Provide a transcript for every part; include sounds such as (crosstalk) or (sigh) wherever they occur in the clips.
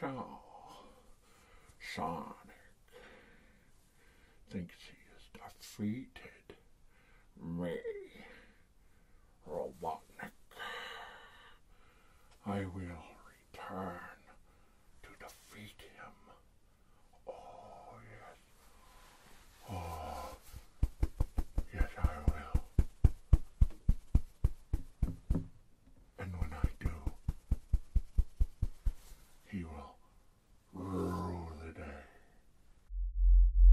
So, Sonic thinks he has defeated me. Robotnik. I will return to defeat him. Oh, yes. Oh, yes, I will. And when I do, he will rule the day.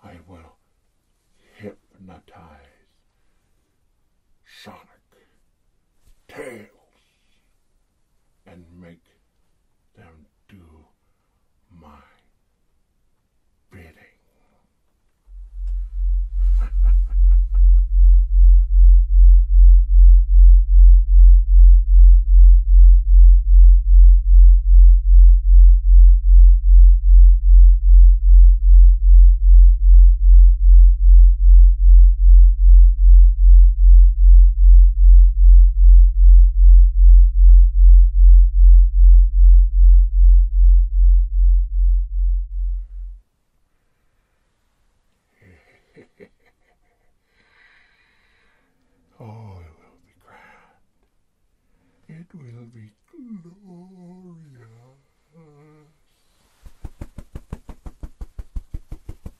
I will hypnotize Sonic, Tails, and make them do my bidding. (laughs) (laughs) oh, it will be grand. It will be glorious.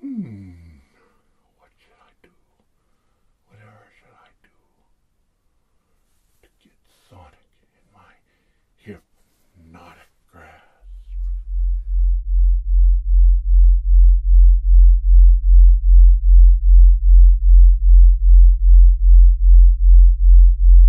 Hmm. What should I do? Whatever should I do to get Sonic in my hypnotic grasp?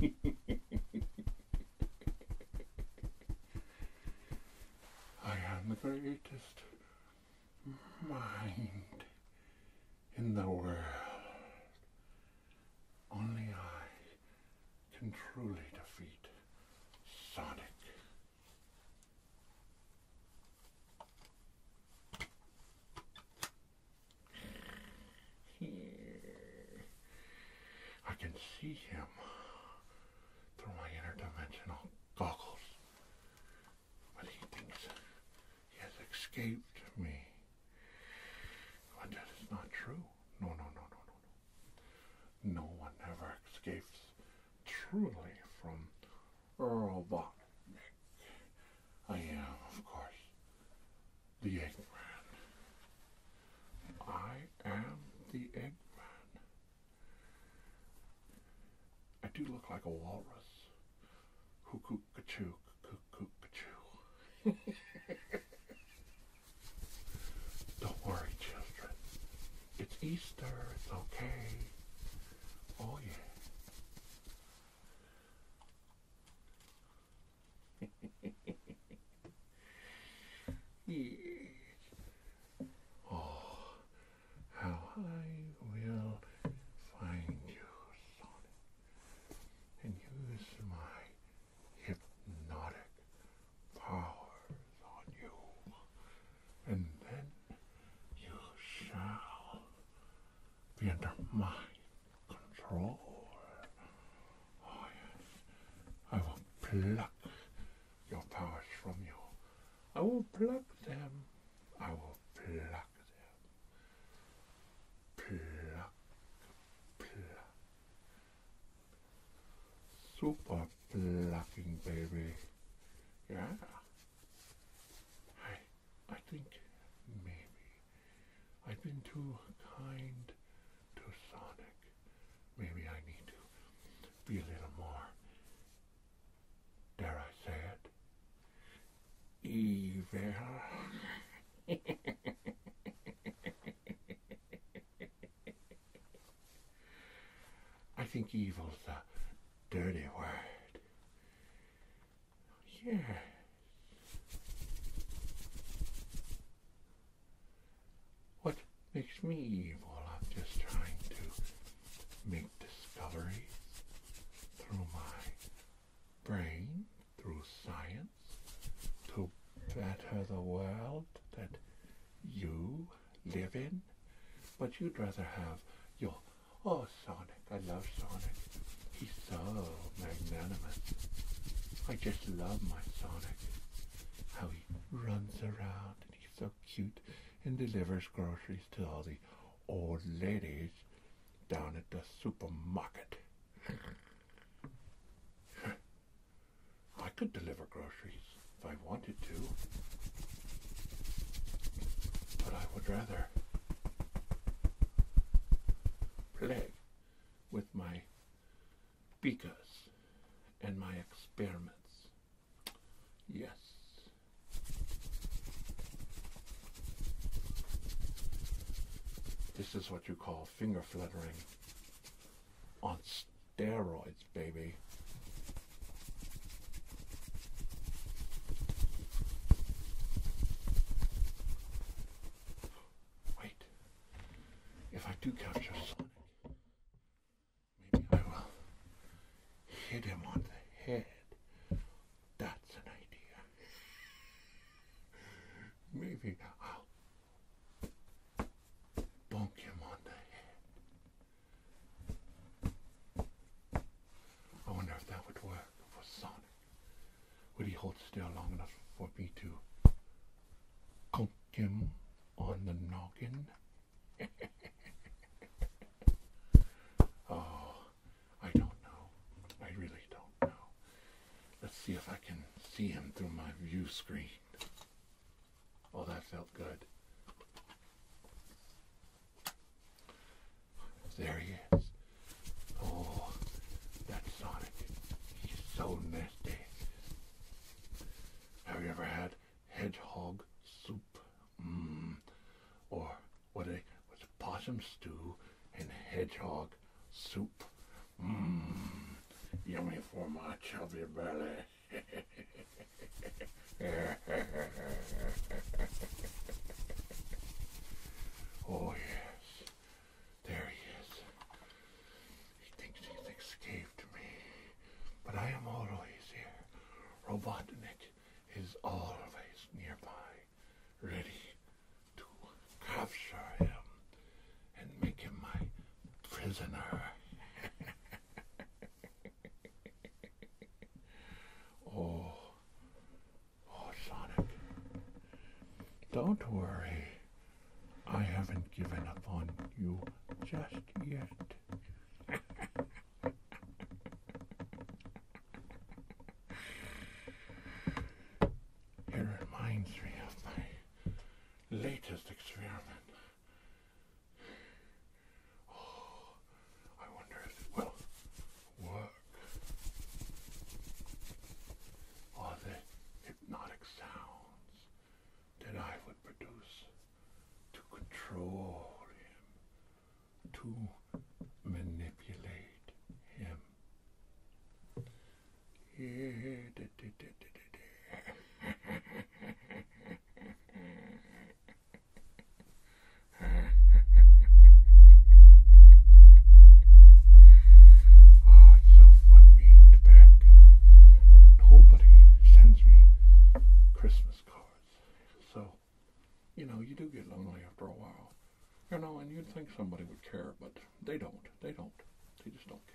(laughs) I am the greatest mind in the world. Only I can truly defeat Sonic. I can see him through my interdimensional goggles, but he thinks he has escaped me. But oh, that is not true. No, no, no, no, no, no. No one ever escapes truly from Earl Botnick. I am, of course, the Eggman. I am the Eggman. I do look like a walrus who cuckoo, cuckoo, cuckoo. Don't worry, children. It's Easter. It's okay. Oh, yeah. (laughs) yeah. Oh, how I will find you, Sonic and use my hypnotic powers on you. And then you shall be under my control. I will pluck your powers from you. I will pluck them. I will pluck pluck them. Super plucking, baby. Yeah. I, I think maybe I've been too kind to Sonic. Maybe I need to be a little more, dare I say it, evil. I think evil's a dirty word. Yeah. What makes me evil? I'm just trying to make discovery through my brain through science to better the world that you live in. But you'd rather have your, oh, Sonic, I love Sonic. He's so magnanimous. I just love my Sonic. How he runs around and he's so cute and delivers groceries to all the old ladies down at the supermarket. (laughs) I could deliver groceries if I wanted to, but I would rather play with my beakers and my experiments. Yes. This is what you call finger fluttering on steroids, baby. Wait, if I do capture Sonic, maybe I will hit him on the head. That's an idea. Maybe I'll bunk him on the head. I wonder if that would work for Sonic. Would he hold still long enough for me to bunk him on the noggin? (laughs) oh, I don't know. I really don't know. Let's see if I can see him through my view screen. Oh, that felt good. There he is. Oh, that Sonic. He's so nasty. Have you ever had hedgehog soup? mm, or what a what possum stew and hedgehog soup. Mmm, yummy for my chubby belly. (laughs) oh yes, there he is. He thinks he's escaped me, but I am always here. Robotnik is always nearby ready to capture him and make him my prisoner. (laughs) oh, oh, Sonic, don't worry. I haven't given up on you just yet. (laughs) It reminds me of my latest experiment. Oh, I wonder if it will work. Are the hypnotic sounds that I would produce to control him to manipulate him. oh, (laughs) it's so fun being the bad guy. Nobody sends me Christmas cards, so you know, you do get lonely after a while. You know, and you'd think somebody would care, but they don't. They don't. They just don't care.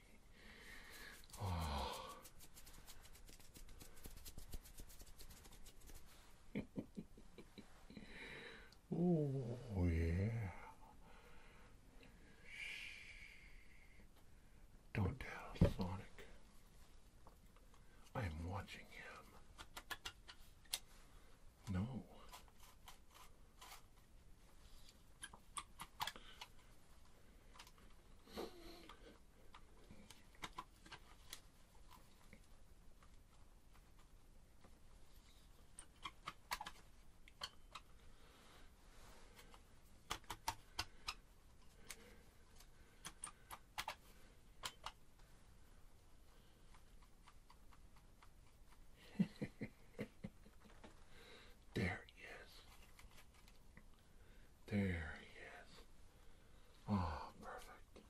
Oh. oh. yeah. Don't tell Sonic. I am watching him. No there he is. There he is. Ah, perfect.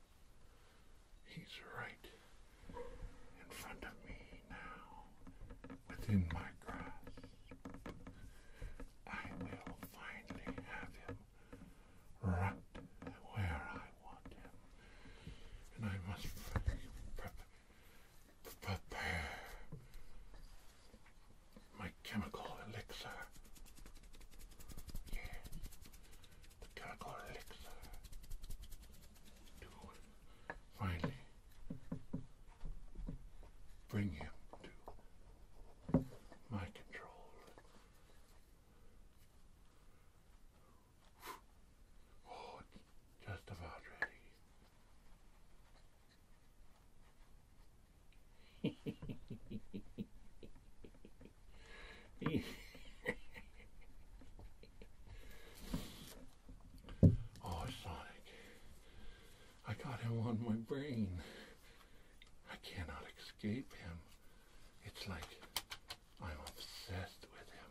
He's right in front of me now, within my grasp. I will finally have him right where I want him, and I must Prepare my chemical elixir. the chemical elixir to finally bring him to my control. Oh, just about ready. (laughs) oh, Sonic. I got him on my brain. I cannot escape him. It's like I'm obsessed with him.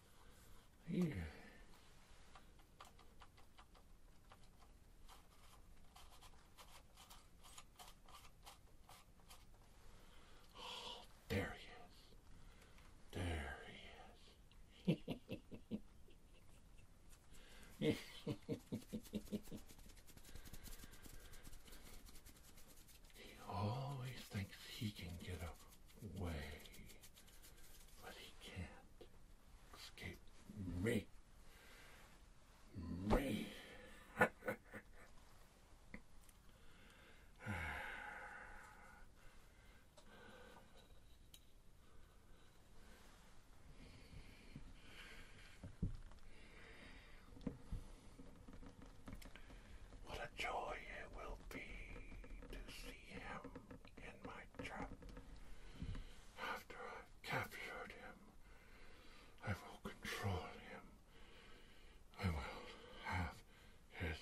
Oh, there he is. There he is. (laughs) He always thinks he can get away, but he can't escape me. Me. What a joy it will be to see him in my trap. After I've captured him, I will control him. I will have his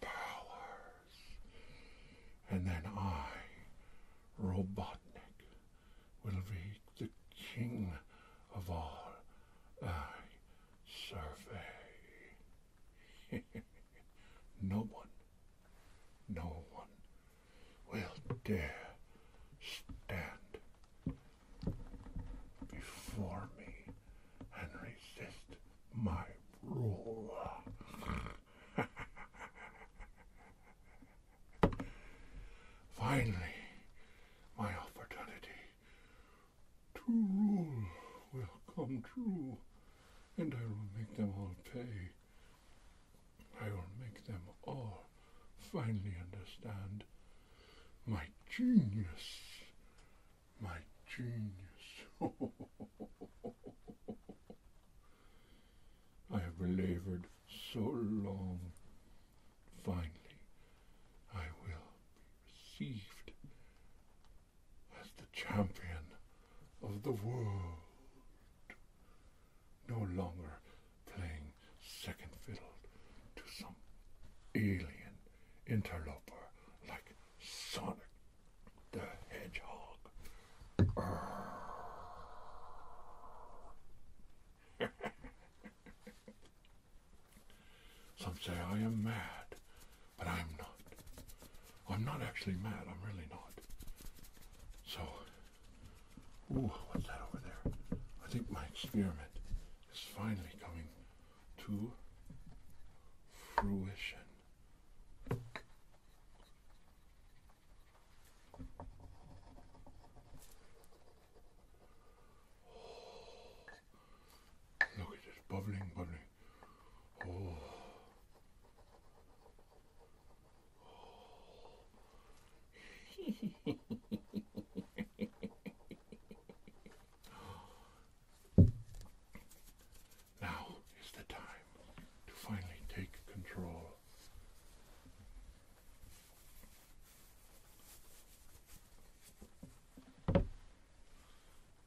powers. And then I, Robotnik, will be the king of all I survey. (laughs) no one, no one will dare stand before me and resist my rule. (laughs) Finally, my opportunity. Two rules will come true, and I will make them all pay. I will make them all finally understand my genius, my genius. (laughs) I have labored so long. Finally, I will be received as the champion of the world, no longer playing second fiddle to some alien interloper like Sonic the Hedgehog. (laughs) Some say I am mad, but I am not. I'm not actually mad, I'm really not. So, ooh, what's that over there? I think my experiment is finally coming to fruition. bubbling, bubbling. Oh. (laughs) now is the time to finally take control.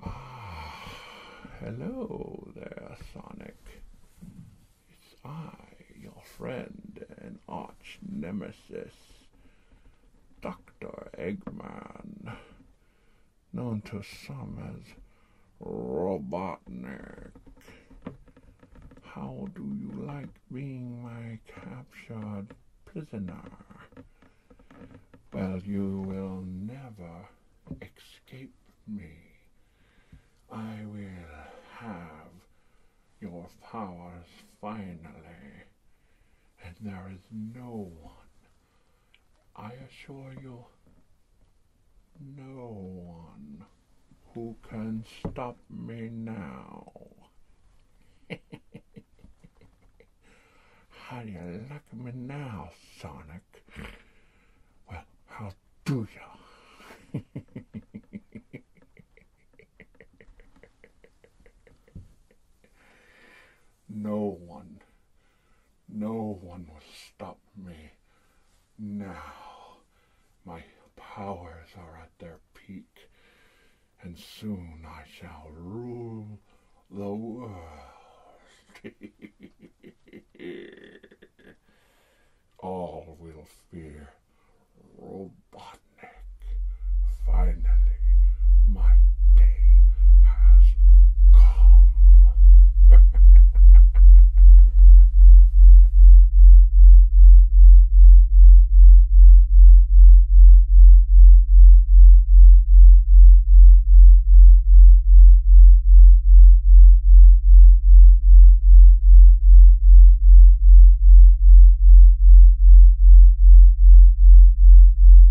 Ah, hello there, Sonic. It's I, your friend and arch nemesis, Dr. Eggman known to some as Robotnik. How do you like being my captured prisoner? Well, you will never escape me. I will have your powers finally, and there is no one I assure you, no one who can stop me now. (laughs) How do you like me now, Sonic? Well, how do you? (laughs) no one no one will stop me now. My powers are at their peak, and soon I shall rule the world. (laughs) All will fear Robotnik. Finally, my day has come.